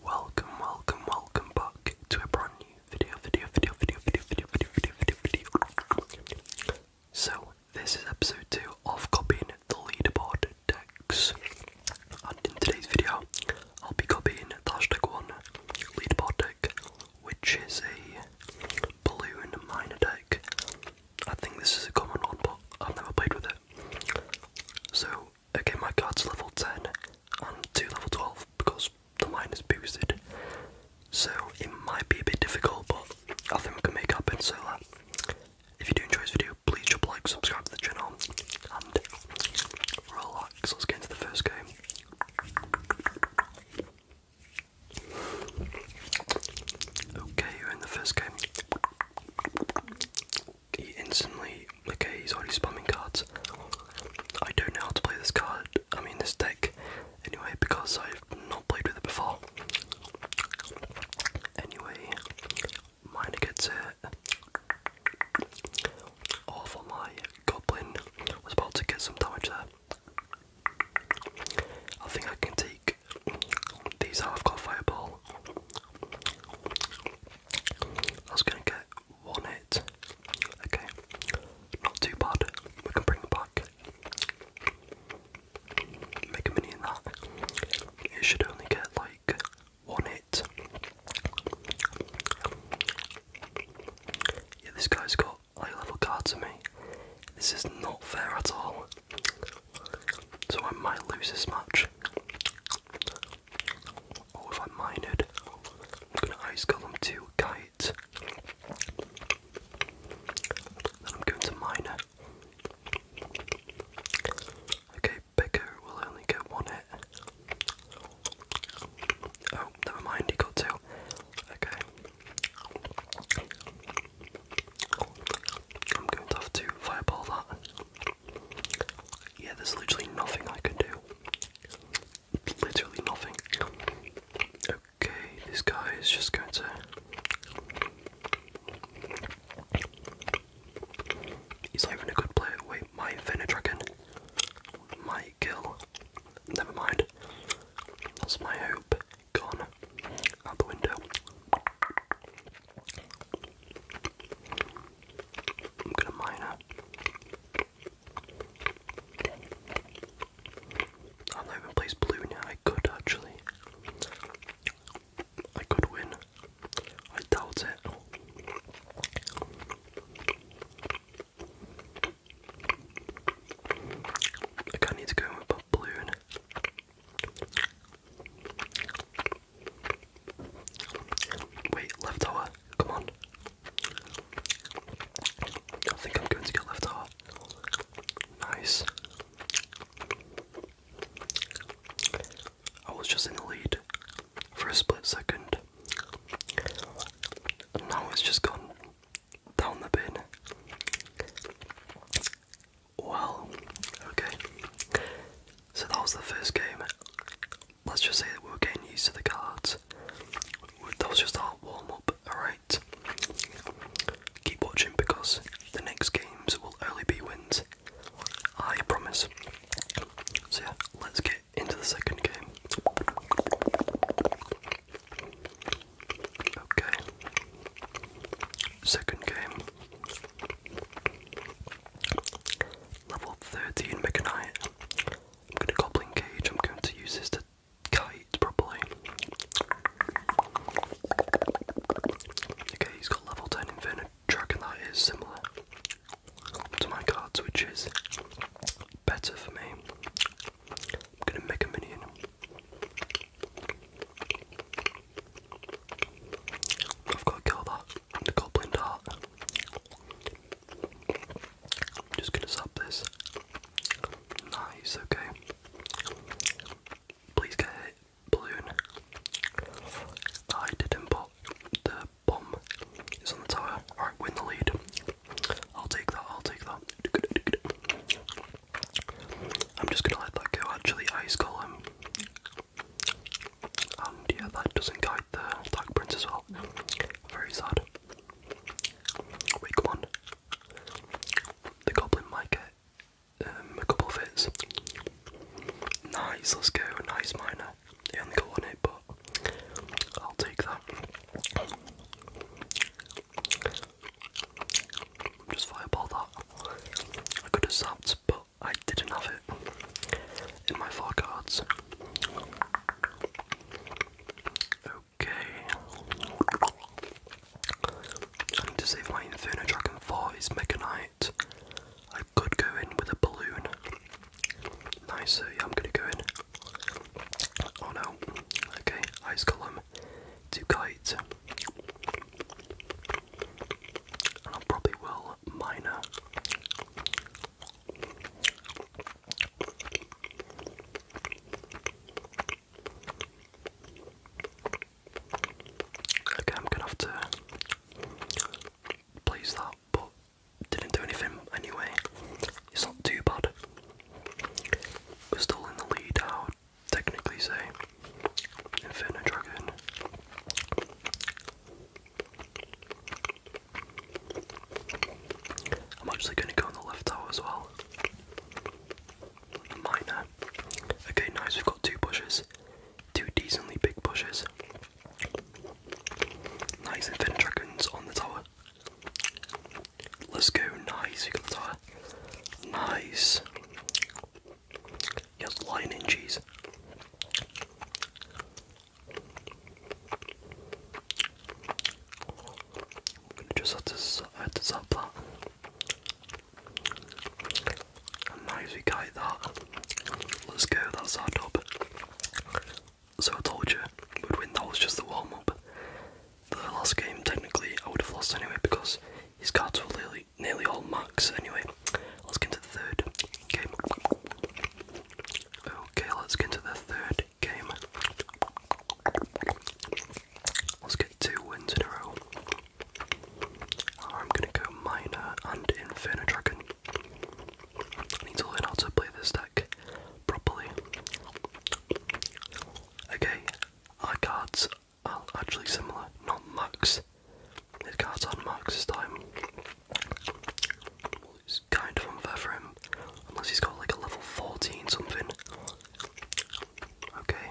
Welcome, welcome, welcome back to a brand new video, video, video, video, video, video, video, video, video, video. So, this is episode 2 of copying the leaderboard decks. And in today's video, I'll be copying the hashtag 1 leaderboard deck, which is a balloon miner deck. I think this is a common one, but I've never played with it. So, Okay, my card's level 10 and two level 12 because the mine is boosted. So it might be a bit difficult, but I think we can make up in so that if you do enjoy this video, please drop a like, subscribe to the channel, and relax. Let's get into the first game. Okay, you're in the first game he instantly okay he's already spamming cards. I don't know how to play this card, I mean this deck anyway because I've not played with it before. Anyway, miner gets it. All for my goblin was about to get some damage there. I think I can take these half I've fireball. That's gonna get one hit. Okay, not too bad. We can bring it back. Make a mini in that. It should only get like one hit. Yeah, this guy's got high level cards to me. This is not fair at all. So I might lose this match. Oh, if I minded, I'm gonna ice column two kite. Then I'm going to minor. Okay, Picker will only get one hit. Oh, never mind, he got two. Okay. I'm going to fireball that. Yeah, there's literally nothing I can do. Literally nothing. Okay, this guy is just going to. He's not a good player. Wait, my Venedragon might kill. Never mind. That's my hope. Gone. Out the window. I'm gonna minor. I'm not even place blue now. I could actually. I could win. I doubt it. I kind of need to go with blue Wait, left tower, come on. I think I'm going to get left tower. Nice. I was just in the lead for a split second. And now it's just gone down the bin. Wow, okay. So that was the first game. Let's just say that we are getting used to the cards. That was just our warm up, alright? Keep watching because the next games will only be wins. I promise. So, yeah, let's get into the second game. Okay. Second game. Level 13 Mechanite. I'm gonna goblin cage, I'm going to use this to kite properly. Okay, he's got level 10 Inferno Dragon that is similar to my cards, which is better for me. I'm gonna make a minion. I've got to kill that, the goblin dart. I'm just gonna sub this. Nice, okay. Please get hit, balloon. I didn't, but the bomb is on the tower. Alright, win the lead. I'll take that, I'll take that. I'm just gonna let that go. Actually, ice column. And um, yeah, that doesn't guide the Dark Prince as well. Very sad. Wait, come on. The Goblin might get um, a couple of hits. Nice, let's go. Nice miner. He only got one but I'll take that. Just fireball that. I could have zapped, but I didn't have it in my four cards. Okay. I need to save my Inferno Dragon for his Mega Knight. I could go in with a balloon. Nicer, yeah, I'm gonna go in. Oh no. Okay, Ice Column. Two Kite. I probably will minor. Okay, I'm gonna have to place that, but didn't do anything anyway. It's not too bad. still in the lead out technically say infinite Dragon. I'm actually going to go on the left tower as well. Minor. Okay, nice. We've got two bushes, two decently big bushes. Nice Infinite Dragons on the tower. Let's go. Nice. We got the tower. Nice. Just lying in cheese. I'm gonna just have to, have to zap that. now as we got that, let's go, that's our top. So I told you, we'd win, that was just the warm-up. The last game, technically, I would have lost anyway because his cards were literally nearly, all max. Anyway, let's get into the third game. Okay, let's get into the third game. Let's get two wins in a row. I'm gonna go minor and Inferno I need to learn how to play this deck properly. Okay, our cards Oh, actually similar, not Max. His cards aren't Max this time. it's kind of unfair for him, unless he's got like a level 14 something. Okay.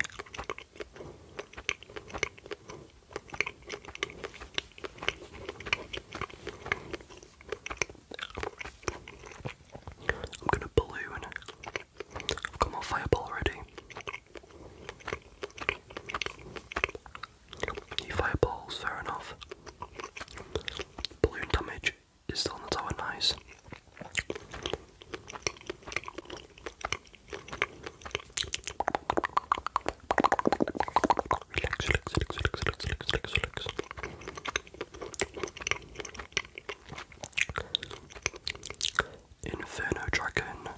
I'm gonna balloon. I've got my fireball ready. fireballs, fair enough. Balloon damage is still on the tower, nice. Relax, relax, relax, relax, relax, relax, relax, relax. Inferno Dragon. i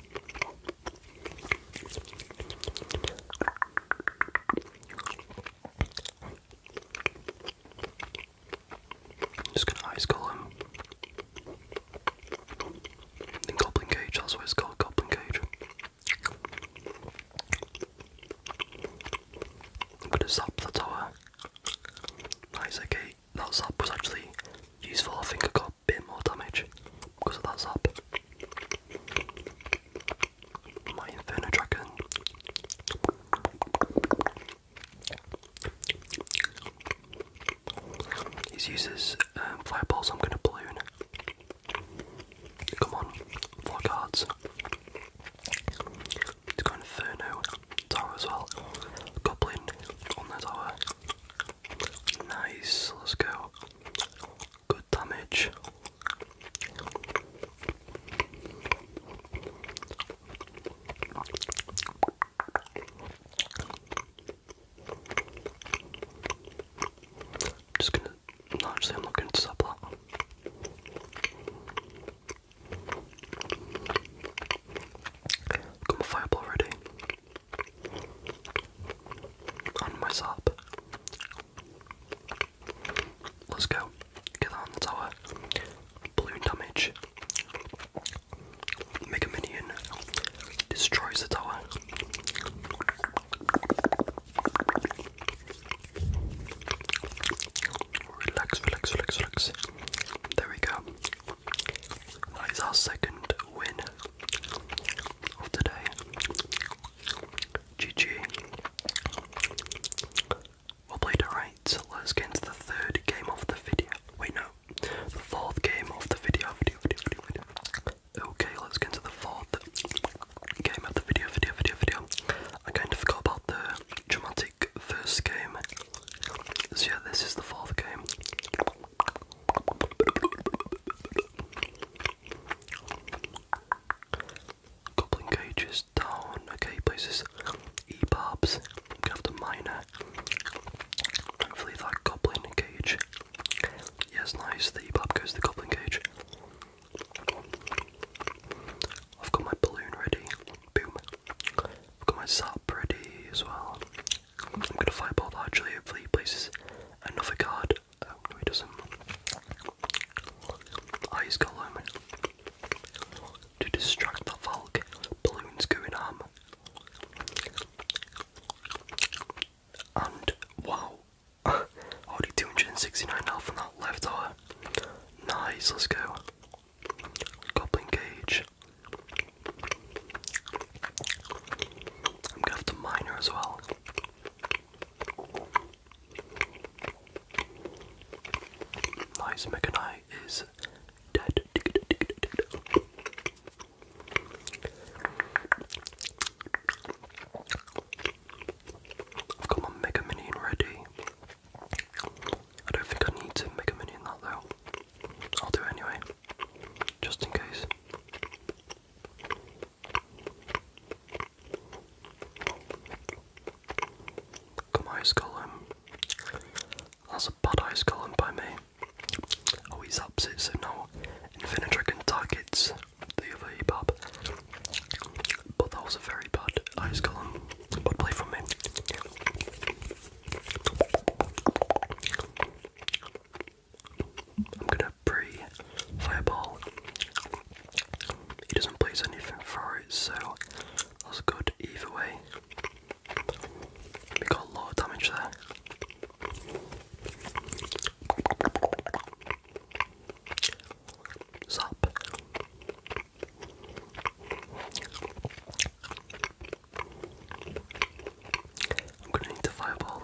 just gonna ice golem. him. Goblin Cage, that's what it's called, Goblin Cage. I'm gonna zap the tower. Nice, okay, that zap was actually useful. I think I got a bit more damage because of that zap. My Inferno Dragon. He's uses um, fireballs. I'm gonna balloon. Come on, four cards. It's has got Inferno tower as well. Goblin on the tower. Nice, let's go. Good damage. just gonna no, actually I'm not gonna stop Got my fireball ready. On my sap. Let's go. Get on the tower. Balloon damage. Mega Minion. Destroys the tower. Relax, relax, relax, relax. There we go. That is our second win of today. GG. Well played, alright. let's get into the third game of the video. Wait, no. The fourth game of the Video, video, video, video. Okay, let's get into the fourth game of the video, video, video, video. I kind of forgot about the dramatic first game. So, yeah, this is the fourth game. Goblin cages down. Okay, places E-barbs. i miner. Hopefully that goblin cage. Yes, nice. The E-barb goes the goblin cage. I've got my balloon ready. Boom. I've got my Zap ready as well. I'm gonna fireball that actually, hopefully he places another card. Oh no he doesn't. Ice ah, Golem. To distract that Valk. Balloons going ham. And wow. Already 269 health from that left tower. Nice, let's go. Goblin Cage. I'm gonna have to as well. Nice Mechanite is dead. I've Mega Minion ready. I don't think I need to make a mini that though. I'll do it anyway, just in case. ice column. That's a bad ice column by me. Oh, he zaps so now Infinitrack can target the other EBAB. But that was a very bad ice column. But play from me. I'm gonna pre fireball. He doesn't place anything for it, so that's good either way. We got a lot of damage there. Zap. I'm gonna need to fireball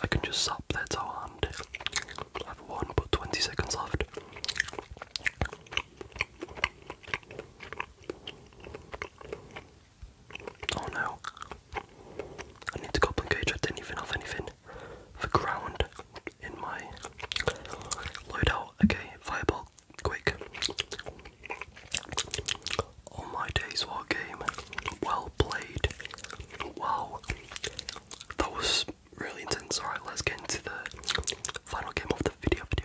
I can just stop their toe I have one but 20 seconds left. Oh no. I need to goblin cage, I didn't even have anything for ground in my loadout. Okay, fireball, quick. Oh my days, what game. Well played. Wow. That was really intense. Alright, let's get into the final game of the video